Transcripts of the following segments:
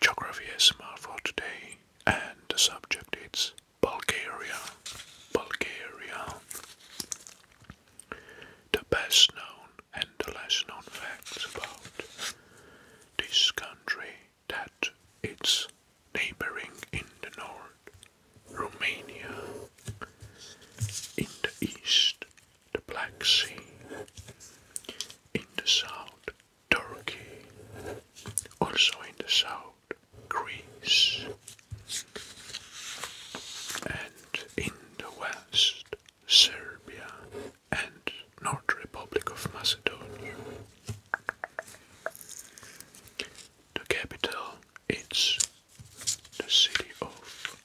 Geography ASMR for today, and the subject is Bulgaria. Bulgaria. The best known and the less known facts about this country that it's neighboring in the north, Romania, in the east, the Black Sea, in the south, Turkey, also in the south, Greece, and in the west, Serbia and North Republic of Macedonia. The capital is the city of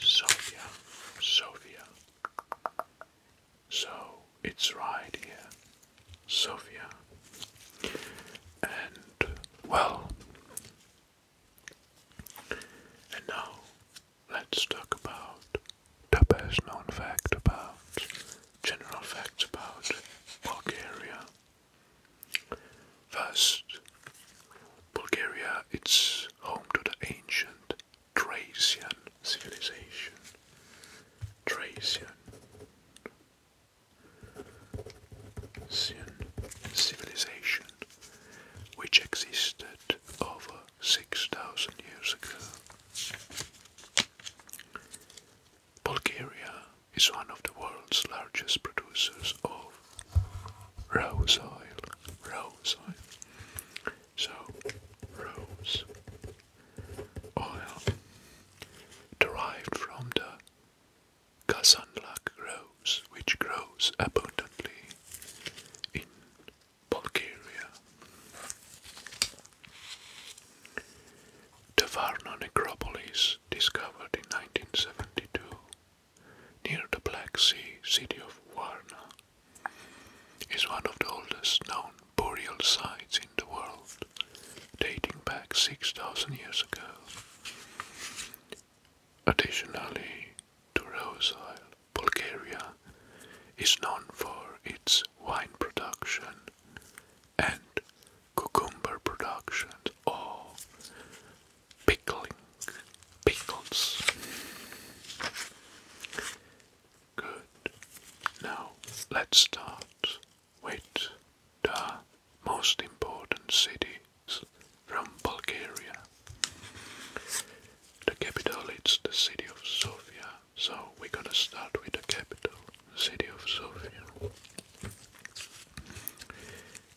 Sofia. Sofia. So it's right here, Sofia. And well, and now let's talk about the best known fact about general facts about Bulgaria. First, Bulgaria it's home to the ancient Thracian civilization. Thracian civilization which existed over 6,000 years ago. Bulgaria is one of the world's largest producers of rose oil, rose oil so, rose oil derived from the Kazanlak rose, which grows abundantly in Bulgaria. The Varna necropolis, discovered in 1972 near the Black Sea city of Varna, is one of the oldest known burial sites in the world, dating back 6,000 years ago. Additionally, to Bulgaria is known for its wine production and cucumber production or pickling, pickles. Good. Now let's start with the most important cities from Bulgaria. The capital is the city of Sofia, so we're gonna start with the capital, city of Sofia.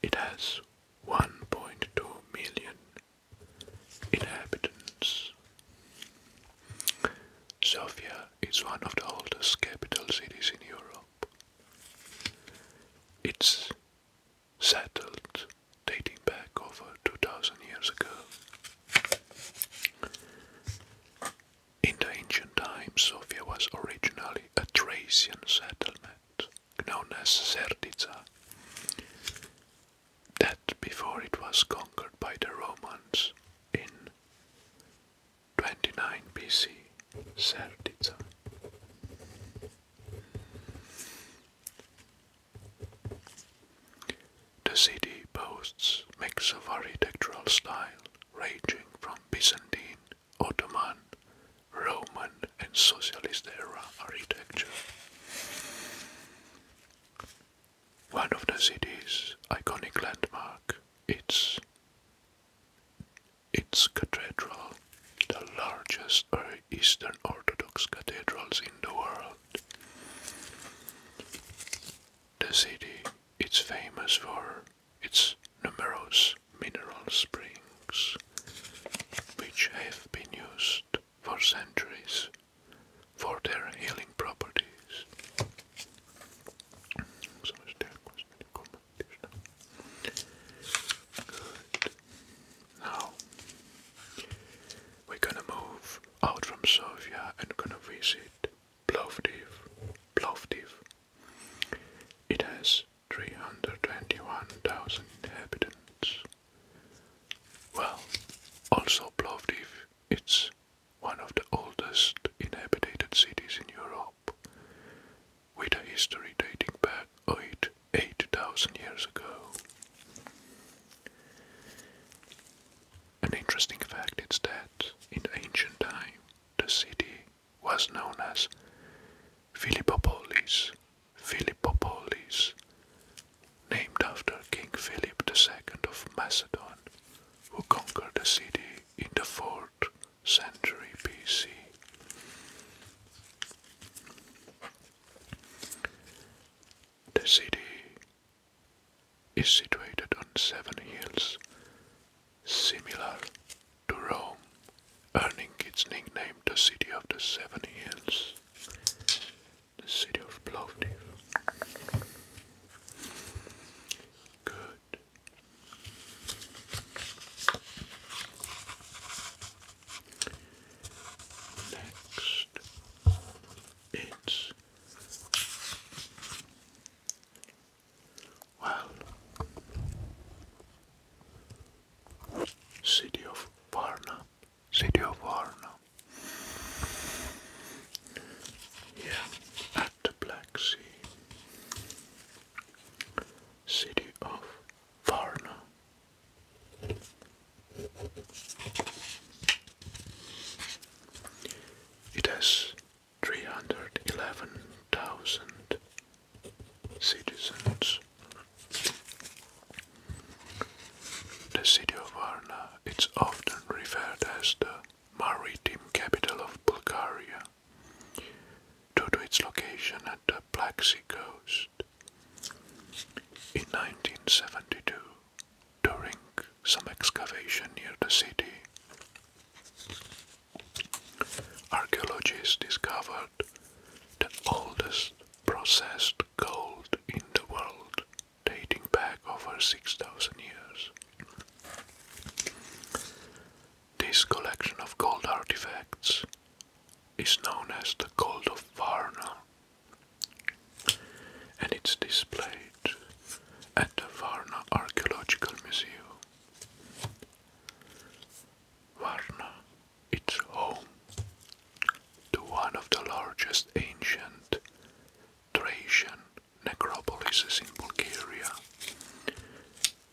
It has 1.2 million inhabitants Sofia is one of the oldest capital cities in Europe. It's settled dating back over 2000 years ago. In the ancient times, Sofia was originally a Thracian settlement known as Serdica that before it was conquered by the Romans in 29 BC, Serdica. The city boasts mix of architectural style ranging from Byzantine, Ottoman, Roman and socialist era architecture one of the city's iconic landmark. It's its cathedral, the largest Eastern Orthodox cathedrals in the world. The city is famous for its numerous mineral springs, which have been used for centuries for their healing properties. Now we're gonna move out from Sofia and gonna visit Plovdiv. Plovdiv. It has 321,000 inhabitants. Well, also Plovdiv, it's one of the oldest inhabited cities in Europe, with a history dating back 8,000 years ago. An interesting fact is that in ancient time the city was known as Philippopolis, Philippopolis, named after King Philip II of Macedon, who conquered the city in the 4th century BC. The city is situated on seven hills, similar to Rome, earning its nickname the City of the Seven Hills the city of Plovdiv. Good. Next, it's well, city of Varna city of Varna. Yeah, at the Black Sea. City of Varna. It has 311,000 citizens. The city of Varna it's often referred as the maritime capital of Bulgaria due to its location at the Black Sea coast. In 1972, during some excavation near the city, archaeologists discovered the oldest processed gold in the world dating back over 6,000 years. This collection of gold artifacts is known as the Gold of Varna and it's displayed at the Varna Archaeological Museum. Varna is home to one of the largest ancient Thracian necropolises in Bulgaria,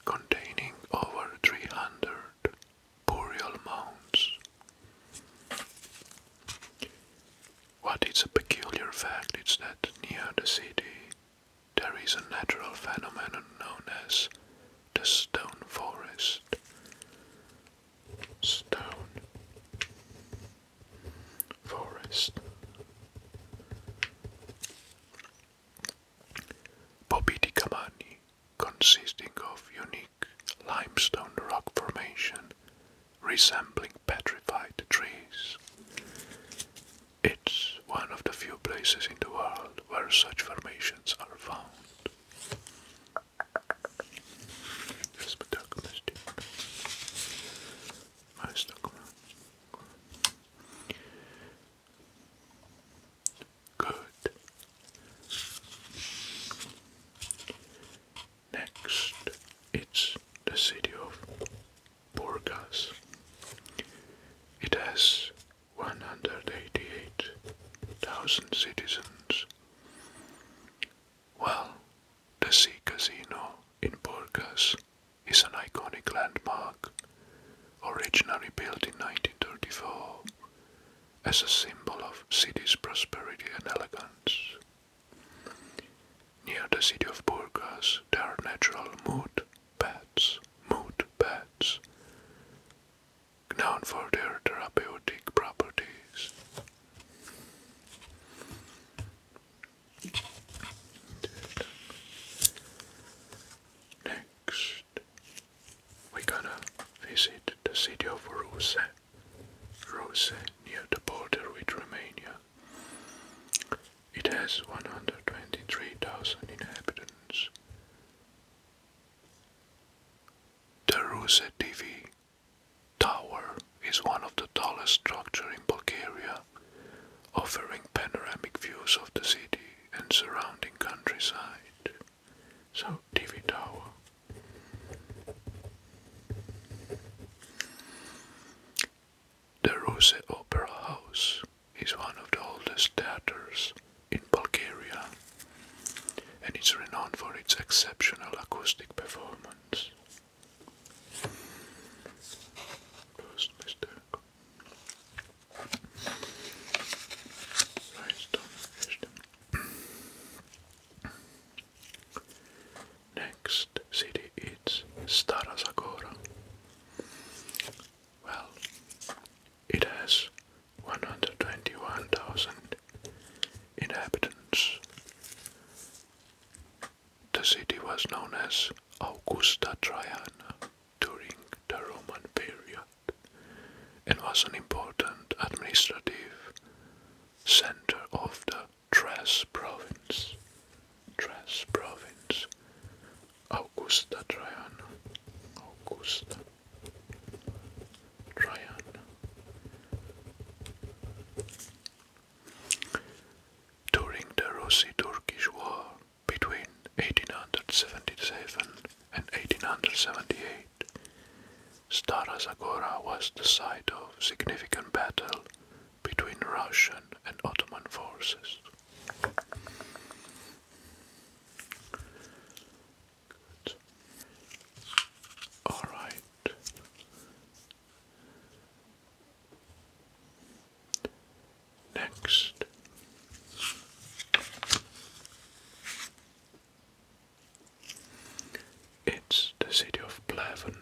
containing over 300 burial mounds. What is a peculiar fact is that near the city there is a natural phenomenon known as the stone forest, stone, forest. Bobidi consisting of unique limestone rock formation resembling petrified trees. It's one of the few places in the world where such formations are found. Just put that mystic. I stuck Good. Next, it's the city of Burgas. It has 188,000 citizens. Well, the Sea Casino in Burgas is an iconic landmark, originally built in 1934 as a symbol of city's prosperity and elegance. Near the city of Burgas, there are natural mud beds, mud beds, known for their therapeutic properties. Next, we gonna visit the city of Ruse, Ruse near the border with Romania. It has 123,000 inhabitants. The Ruse TV tower is one of the tallest structures in Bulgaria, offering panoramic views of the city and surrounding countryside. So, TV Tower. The Rose Opera House is one of the oldest theaters in Bulgaria and is renowned for its exceptional acoustic performance. First mistake. Next city is Stara Zagora. Well, it has 121,000 inhabitants the city was known as Augusta Traiana during the Roman period and was an important administrative center of the Thrace province. Thrace province. Augusta Traiana. Augusta Traiana. During the russo turkish War between 1877 and 1878, Stara Zagora was the site of significant battle between Russian and Ottoman forces. Next. It's the city of Pleven.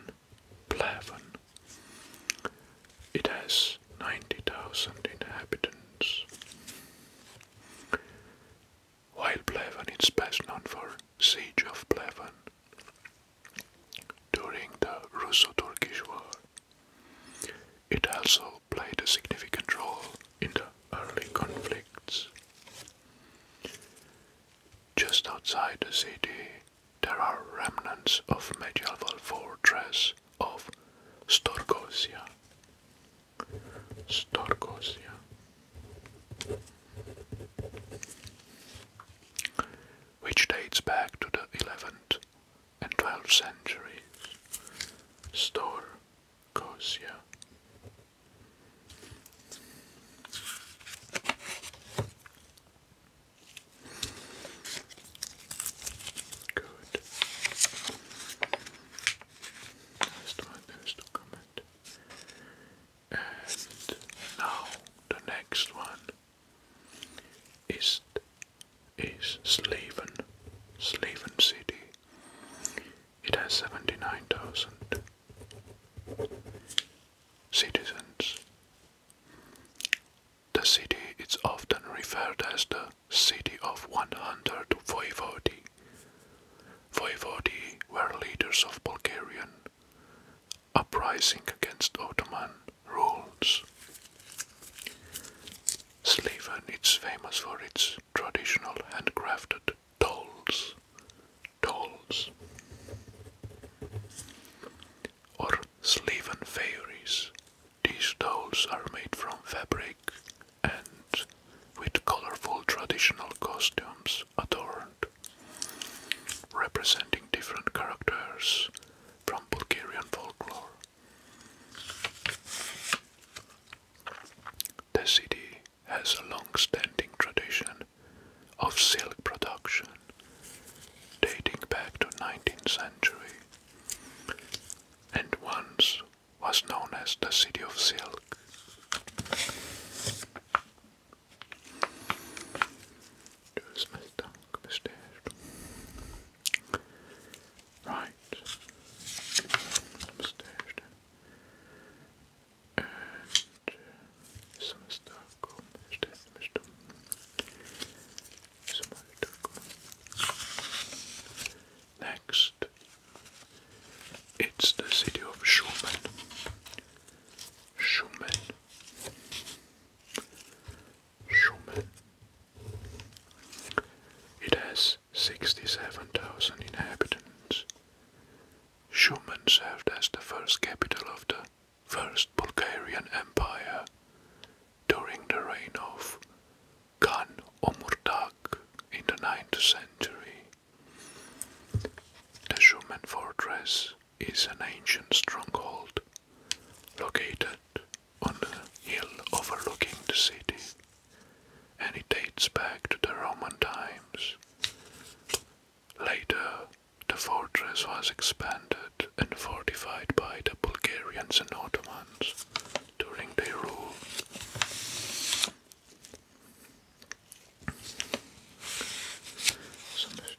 Pleven. It has 90,000 inhabitants. While Pleven is best known for siege of Pleven during the Russo-Turkish War. It also played a significant role in the early conflicts. Just outside the city, there are remnants of medieval fortress of Storgosia. Storgosia which dates back to the 11th and 12th centuries. Store Cosia. Good. Last one is to comment. And now the next one is is Slaven, Slaven City. It has seventy nine thousand citizens. The city is often referred as the City of 100 Voivodi. Voivodi were leaders of Bulgarian uprising against Ottoman rules. Sliven is famous for its traditional handcrafted dolls. Dolls. Or Sliven fairies. These dolls are made from fabric and with colorful traditional costumes adorned, representing different characters from Bulgarian folklore. The city has a long standing tradition of silk production dating back to 19th century and once was known as the city of silk. Just my stomach bestaged. Right. Bestaged. And some stuff called bestaged. Next, it's the city of Schumann. Schumann. Schumann. It has 67,000 inhabitants. Schumann served as the first capital of the First Bulgarian Empire during the reign of Khan Omurtak in the 9th century. The Schumann fortress is an ancient stronghold located on a hill overlooking the city, and it dates back to the Roman times. Later, the fortress was expanded and fortified by the Bulgarians and Ottomans during their rule. It's on this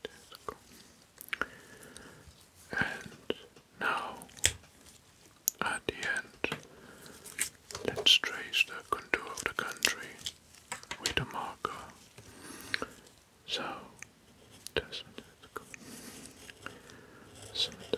And now, at the end, let's trace the contour of the country with a marker. So, that's Sometimes,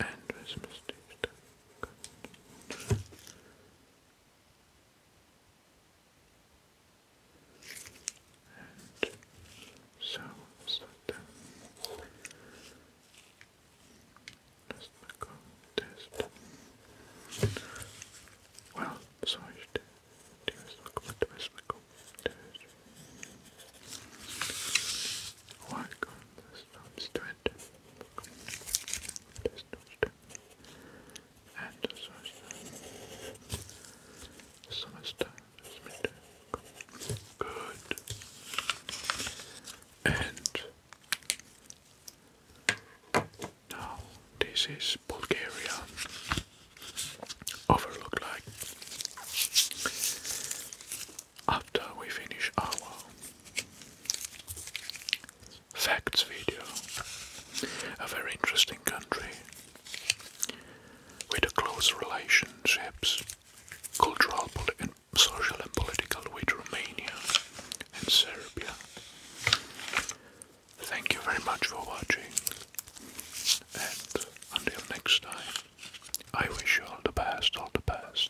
and Christmas Tuesday. And so, so then, let Well, so I do is look at the go there's no strength. There's no strength. And the Good. And now this is Bulgaria. Overlook like after we finish our facts video. A very interesting country with close relationships, cultural, social, and political with Romania and Serbia. Thank you very much for watching, and until next time, I wish you all the best, all the best.